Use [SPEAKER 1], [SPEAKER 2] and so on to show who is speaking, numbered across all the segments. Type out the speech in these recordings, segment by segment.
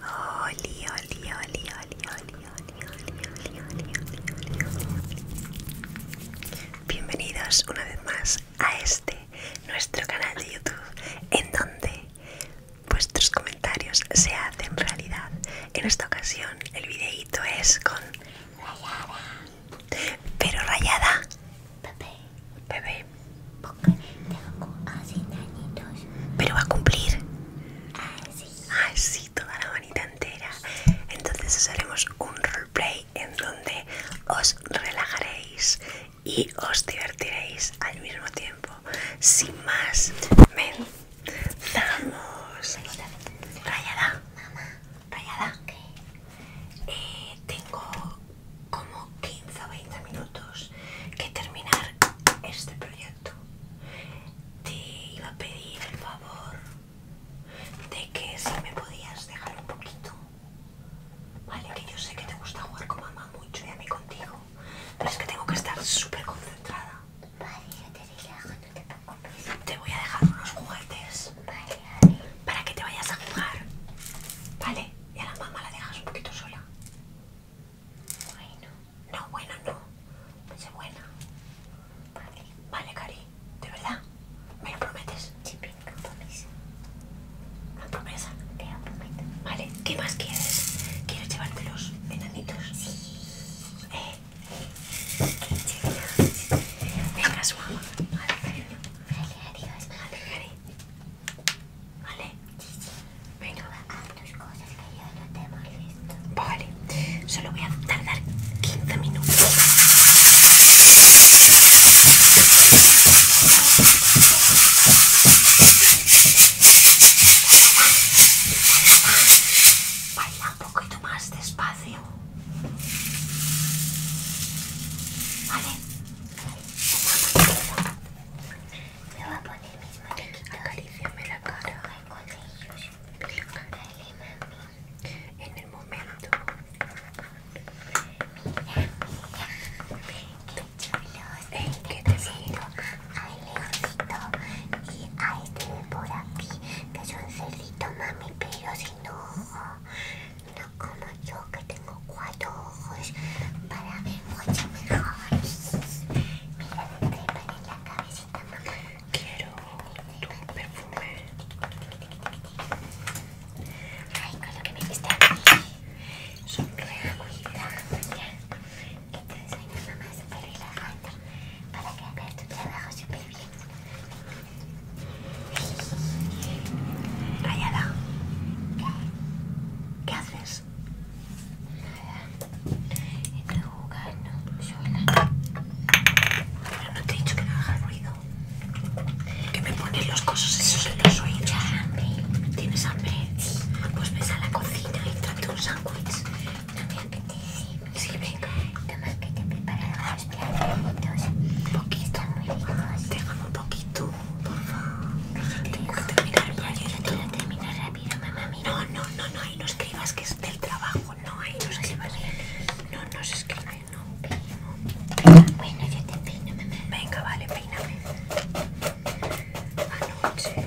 [SPEAKER 1] Oli, Bienvenidos una vez más a este nuestro canal de YouTube en donde vuestros comentarios se hacen realidad. En esta ocasión el videíto es con rayada. Pero rayada. Bebé. Bebé porque tengo así dañitos. Pero va a cumplir. Así. sí, toda la manita entera. Entonces haremos un roleplay en donde os relajaréis y os divertiréis al mismo tiempo. Sin más, Vamos. Rayada. Rayada. Eh, tengo como 15 o 20 minutos que terminar este proyecto. Te iba a pedir el favor de que si me podías dejar un poquito. Vale, que yo sé que te gusta jugar con mamá mucho y a mí contigo. Pero es que tengo que estar súper concentrada. Vale, yo te voy a dejar unos juguetes. Para que te vayas a jugar. Vale, y a la mamá la dejas un poquito sola. Bueno, no, bueno, no. Sé pues buena. Vale. Vale, Cari, ¿de verdad? ¿Me lo prometes? Sí, No compromiso. ¿Una promesa? Te lo prometo. Vale, ¿qué más quieres? ¿Quieres llevarte los menanditos? Sí. Eh. eh. Venga, su mamá. Vale, cariño. Vale, adiós. Vale, Cari. ¿Vale? Sí, sí. Venga. Ah, tus cosas que yo no te molesto. Vale. Solo voy a tardar 15 minutos. Baila un poquito más despacio. Vale. Me voy a poner mis muñequitos. me la cara. ellos. Dale, mami. En el momento. Mira, mira. Qué chulos qué te siento. leoncito. Y a este de por aquí, que es un cerdito, mami, pero si no. No como yo, que tengo cuatro pues, para ver mucho mejor. Mira la crema en la cabecita, Quiero un perfume. Ay, con lo que me diste aquí mí. Sonríe, agüita. que te enseño, mamá, súper relajante para que hagas tu trabajo súper bien. Rayada, ¿qué? ¿Qué haces? Nada. Estoy jugando sola. Pero no te he dicho que no haga ruido. Que me ponen los cosos esos en los oídos. Ya, hambre. ¿Tienes hambre? Pues ves a la cocina y trate un sándwich. No me apetece. Sí, venga. Toma, que te he preparado los platos. Poquito. Están muy ricos. Déjame un poquito por favor. Tengo que terminar el eh, rápido, mamá. No, no, no, no, ahí no escribas que es del trabajo. No, ahí no escribas. No, no se escribe, no. Bueno, yo te Venga, vale, peíname. Anoche.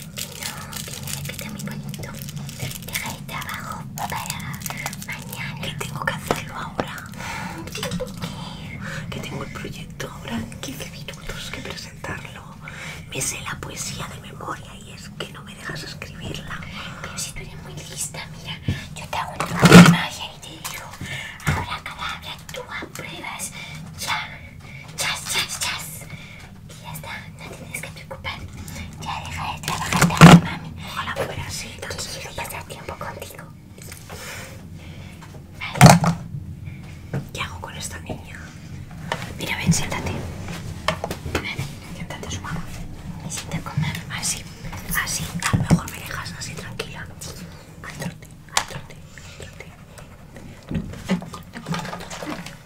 [SPEAKER 1] no, tiene repito que muy bonito. Deja de trabajo para mañana. Que tengo que hacerlo ahora? Que tengo el proyecto ahora 15 minutos que presentarlo. Me sé la poesía de memoria y es que no me dejas escribirla. Pero si tú eres muy lista, mira, yo te hago una magia y te digo, ahora cada tú apruebas, ya, chas, chas, chas. Ya está, no tienes que preocupar. Ya deja de trabajar tanto, mami. Ojalá fuera así, tan quiero pasar tiempo contigo. ¿Qué hago con esta niña? Mira, ven, siéntate. Ven, siéntate su mamá. Me siento con Así, así. A lo mejor me dejas así tranquila. Al trote, al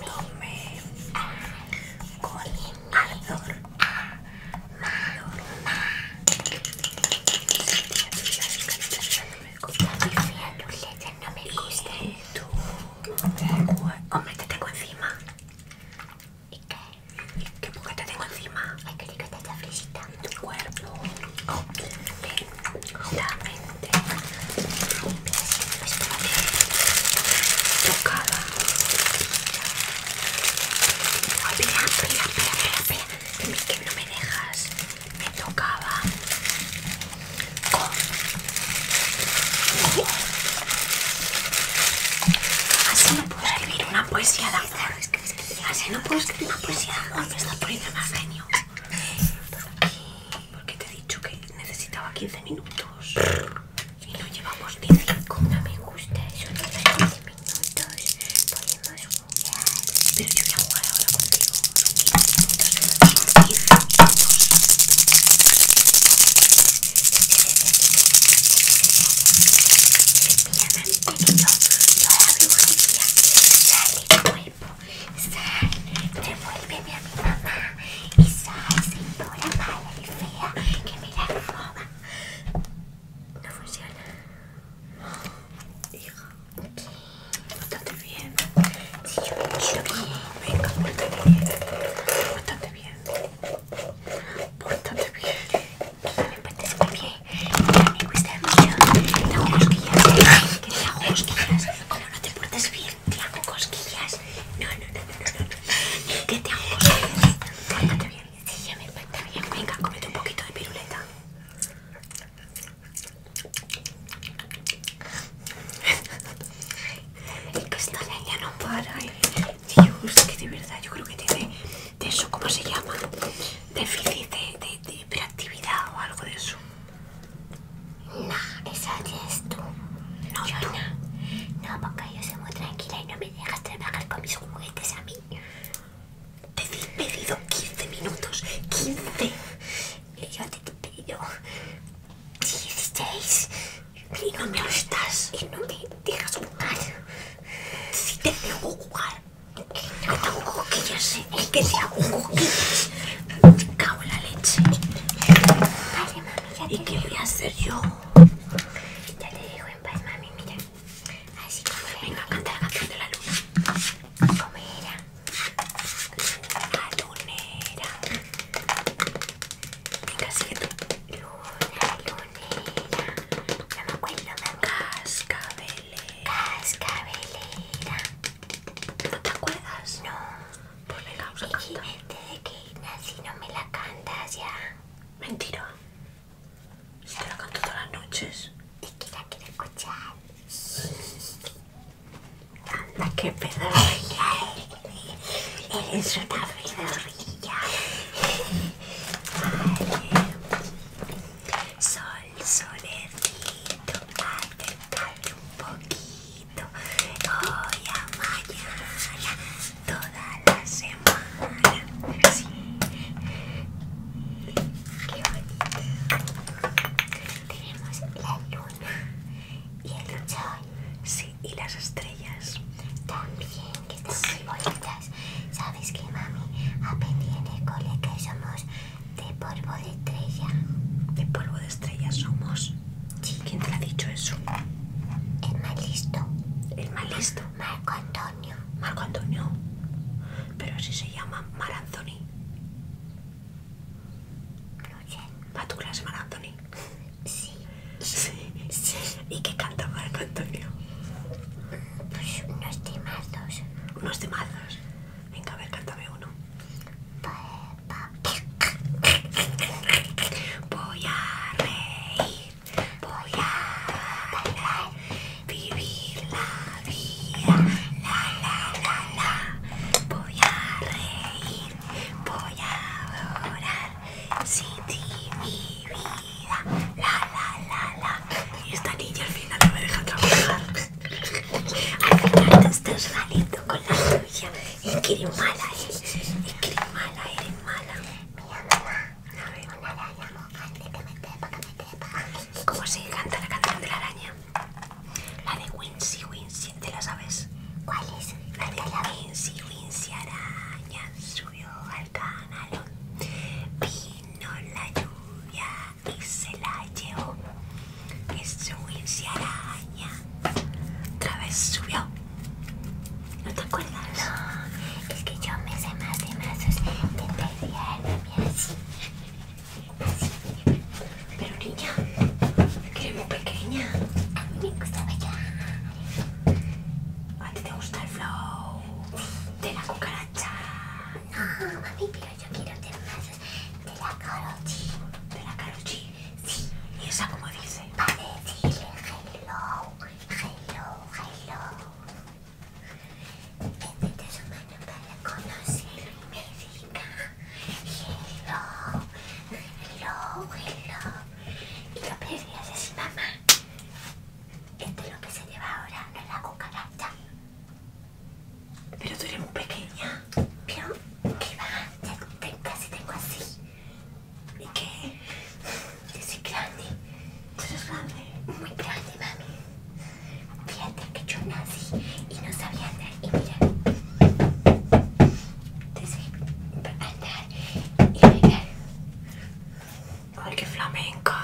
[SPEAKER 1] tomé con ardor. No me gusta y tú, hombre, te encima. ¿Y qué? ¿Qué te tengo encima? Ay, que que está Tu cuerpo. Me tocaba oh, espera, espera, espera, espera que, que no me dejas me tocaba con oh. así no puedo escribir una poesía de amor así no puedo escribir una poesía de amor me está poniendo más genio por aquí porque te he dicho que necesitaba 15 minutos y no llevamos ni 5. me gusta eso 15 minutos. Podemos jugar. Pero yo voy a jugar ahora contigo. Son 15 minutos. Mira, me han tenido toda la brujería. Sale cuerpo. Sal, devuélveme a mi mamá. Y Sal, señora mala y fea, que me la forma No funciona. Hija, bastante bien. Si yo me quiero bien. Venga, bastante bien. Bastante bien. Bastante bien. Pues, me bien. Me mucho. que como no te portes bien, te hago cosquillas. No, no, no, no, no. ¿Qué te hago cosquillas? Pórtate bien. Sí, ya me bien. Venga, comete un poquito de piruleta. El ya no para, ¿eh? Dios, que de verdad yo creo que tiene de eso, ¿cómo se llama? Déficit de, de, de hiperactividad o algo de eso. No, que eres tú. No, yo no. porque yo soy muy tranquila y no me dejas trabajar con mis juguetes a mí. Te he pedido 15 minutos. 15. Y yo te he pedido 16. no me estás. Y no me dejas jugar. Si te dejo jugar. No, que yo sé. coquillas, que te hago coquillas. Cago en la leche. Vale, mami, ya te ¿Y qué voy a hacer yo? Ya te digo en paz, mami, mira. Así como era. Venga, canta la canción de la luna. Como era. Luna, lunera. Venga, sigue tú. Luna, lunera. No me acuerdo, mami. Cascabelera. Cascabelera. ¿No te acuerdas? No. Por venga, vamos de que no me la cantas ya. Mentira. Si te la canto todas las noches. Te que quiero escuchar. Anda, qué pedorrilla eres. Eres una Sol, solecito, un poquito. Hoy a mañana, toda la semana. Sí. Qué bonito. Tenemos la luna y el sol. Sí, y las estrellas. También, que están muy bonitas. ¿Sabes que mami? Aprendí en el cole que somos de polvo de estrella. ¿De polvo de estrella somos? Sí. ¿Quién te ha dicho eso? El más listo. ¿El más listo? Marco Antonio. Marco Antonio. Pero si se llama Mar Anthony. No sé. ¿Va a tu clase Mar Sí. Sí. sí. ¿Y qué canta Marco Antonio? Pues unos temazos. ¿Unos temazos? Venga, a ver, cántame uno. Pues... Voy a reír, voy a bailar, vivir la vida, la la la la. Voy a reír, voy a llorar, sin mi vida, la la la la. esta niña al final no me deja trabajar. te este estás ralito con la lluvia Es que eres mala, eh. Es que eres mala, eres mala. Mira, mamá. A ¿Cómo se canta la canción de la araña? La de Wincy Wincy, ¿te la sabes? ¿Cuál es? La de Wincy Wincy araña subió al canal. Vino la lluvia y se la llevó. Ese Willy araña otra vez subió. ¿No te acuerdas? No, es que yo me sé más de mazos de pedir así. Pero niña, que eres muy pequeña. A mí me gusta bailar. ¿A ti te gusta el flow de la cucaracha? No, yo quiero tener más de la carochi. ¿De la carochi. Sí. ¿Y esa como dice? Para decirle hello, hello, hello. es su mano para conocer y me hello, hello, hello. Y lo pedías así, mamá. Esto es lo que se lleva ahora, no es la cucaracha. Pero tú eres muy pequeña. que que va? casi tengo así. ¿Y qué? Yo soy grande. Tú eres grande. Muy grande, mami. Fíjate que yo nací y no sabía andar. Y mira. Te andar y mirar ¡Ay, qué flamenca!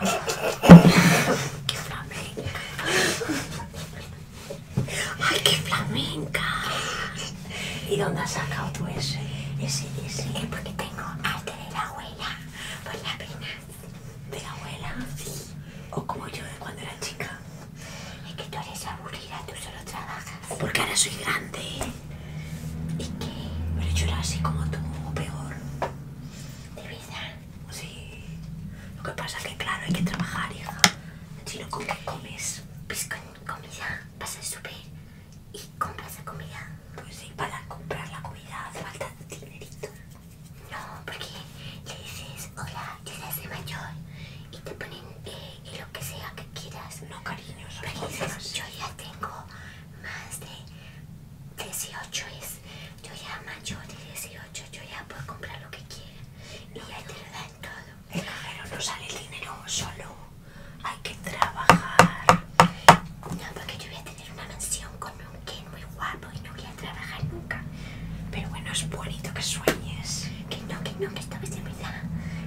[SPEAKER 1] ¡Qué flamenca! ¡Ay, qué flamenca! ¿Y dónde has sacado tú ese? Ese, ese. Es porque tengo arte de la abuela, Pues la pena. ¿De la abuela? Sí. O como yo cuando era chica. Es que tú eres aburrida, tú solo trabajas. porque ahora soy grande. ¿Y que Pero yo era así como tú, o peor. De vida. Sí. Lo que pasa es que, claro, hay que trabajar, hija. Si no, comes? Pues con comida. Vas a subir y compras la comida. Pues sí, para comprar la comida hace falta dinerito. No, porque le dices, hola, te das de mayor y te ponen eh, eh, lo que sea que quieras. No, cariño, son Pero yo ya tengo más de 18 es, yo ya mayor de 18, yo ya puedo comprar lo que quiera y ya te dan todo. El no sale el dinero solo, hay que trabajar. No, porque yo voy a tener una mansión con un Ken muy guapo y no voy a trabajar nunca. Pero bueno, es bonito que sueñes. Que no, que no, que esta vez me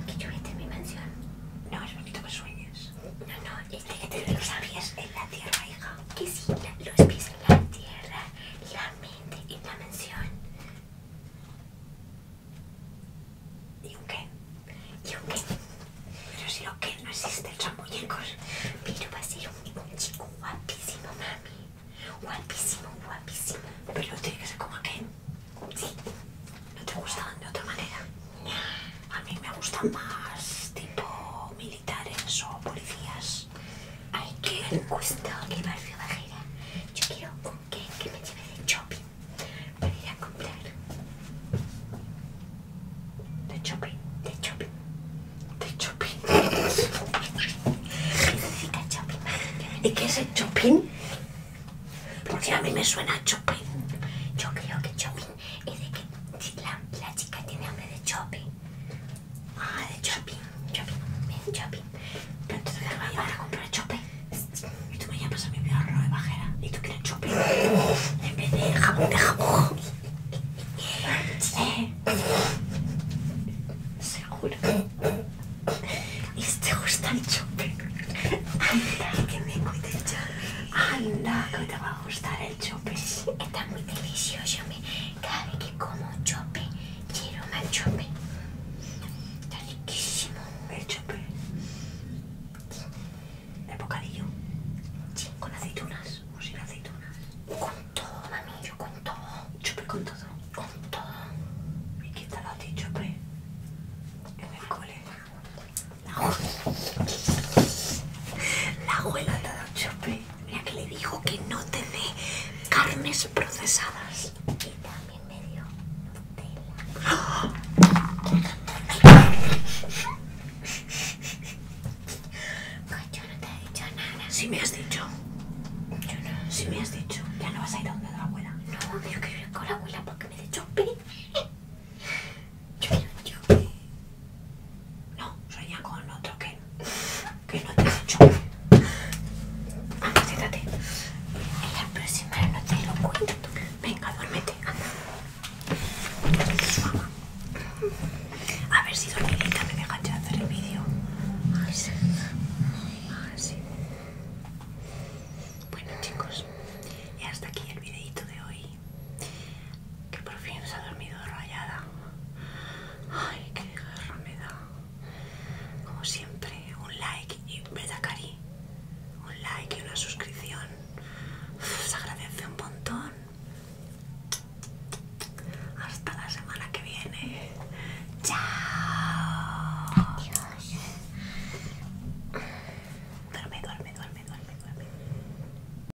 [SPEAKER 1] que yo voy a tener mi mansión. No, es bonito que sueñes. No, no, es que tener los pies en la tierra, hija. Que sí, los pies en la tierra la mente y la mención. ¿Y un qué? ¿Y un qué? Pero si lo que no existe el muñecos. Pero va a ser un, chico guapísimo, mami. Guapísimo, guapísimo. Pero tiene que ser como qué Sí. ¿No te gusta de otra manera? A mí me gusta más tipo mil militares o policías. Ay, qué encuestar. qué barrio bajera. Yo quiero un que, que me lleve de shopping para ir a comprar. De shopping, de shopping, de shopping. ¿Y qué es el shopping? Porque a mí me suena shopping. Yo creo que shopping es de que la, la chica tiene hambre de shopping. Ah, de chopping, chopping, bien chopping. Pero entonces voy a llevar a comprar chopping. Y tú pues, me llamas a mi peor no de bajera. Y tú quieres chopping. en vez de jabón de jabón. Sí. Seguro. Y si te gusta el chopping? Anda, que me cuide el shopping. Anda, que te va a gustar el shopping. Está muy delicioso. Me cada que como chope, quiero más chope. Está riquísimo. El chope. El bocadillo. Con aceitunas o sin aceitunas. Con todo, mami, yo con todo. Chope con todo. Con todo. ¿Y qué tal a ti, chope? En el cole. La abuela te da chope. Mira que le dijo que no te dé carnes procesadas. Y también me dio Nutella. yo no te he dicho nada. Si sí me has dicho. Si me has dicho. Ya no vas a ir a donde la abuela. No, yo quiero ir con la abuela porque me he dicho Yo quiero no, sueña con otro que, que no te has hecho. Anda, ah, siéntate. En la próxima no te lo cuento. Venga, duérmete, A ver si dormilita me deja hacer el vídeo. Ay, sí. Bueno chicos, y hasta aquí el videito de hoy que por fin se ha dormido rayada. Ay, qué guerra me da. Como siempre, un like y un like y una suscripción. Se agradece un montón. Hasta la semana que viene. Chao. Adiós. Duerme, duerme, duerme, duerme, duerme.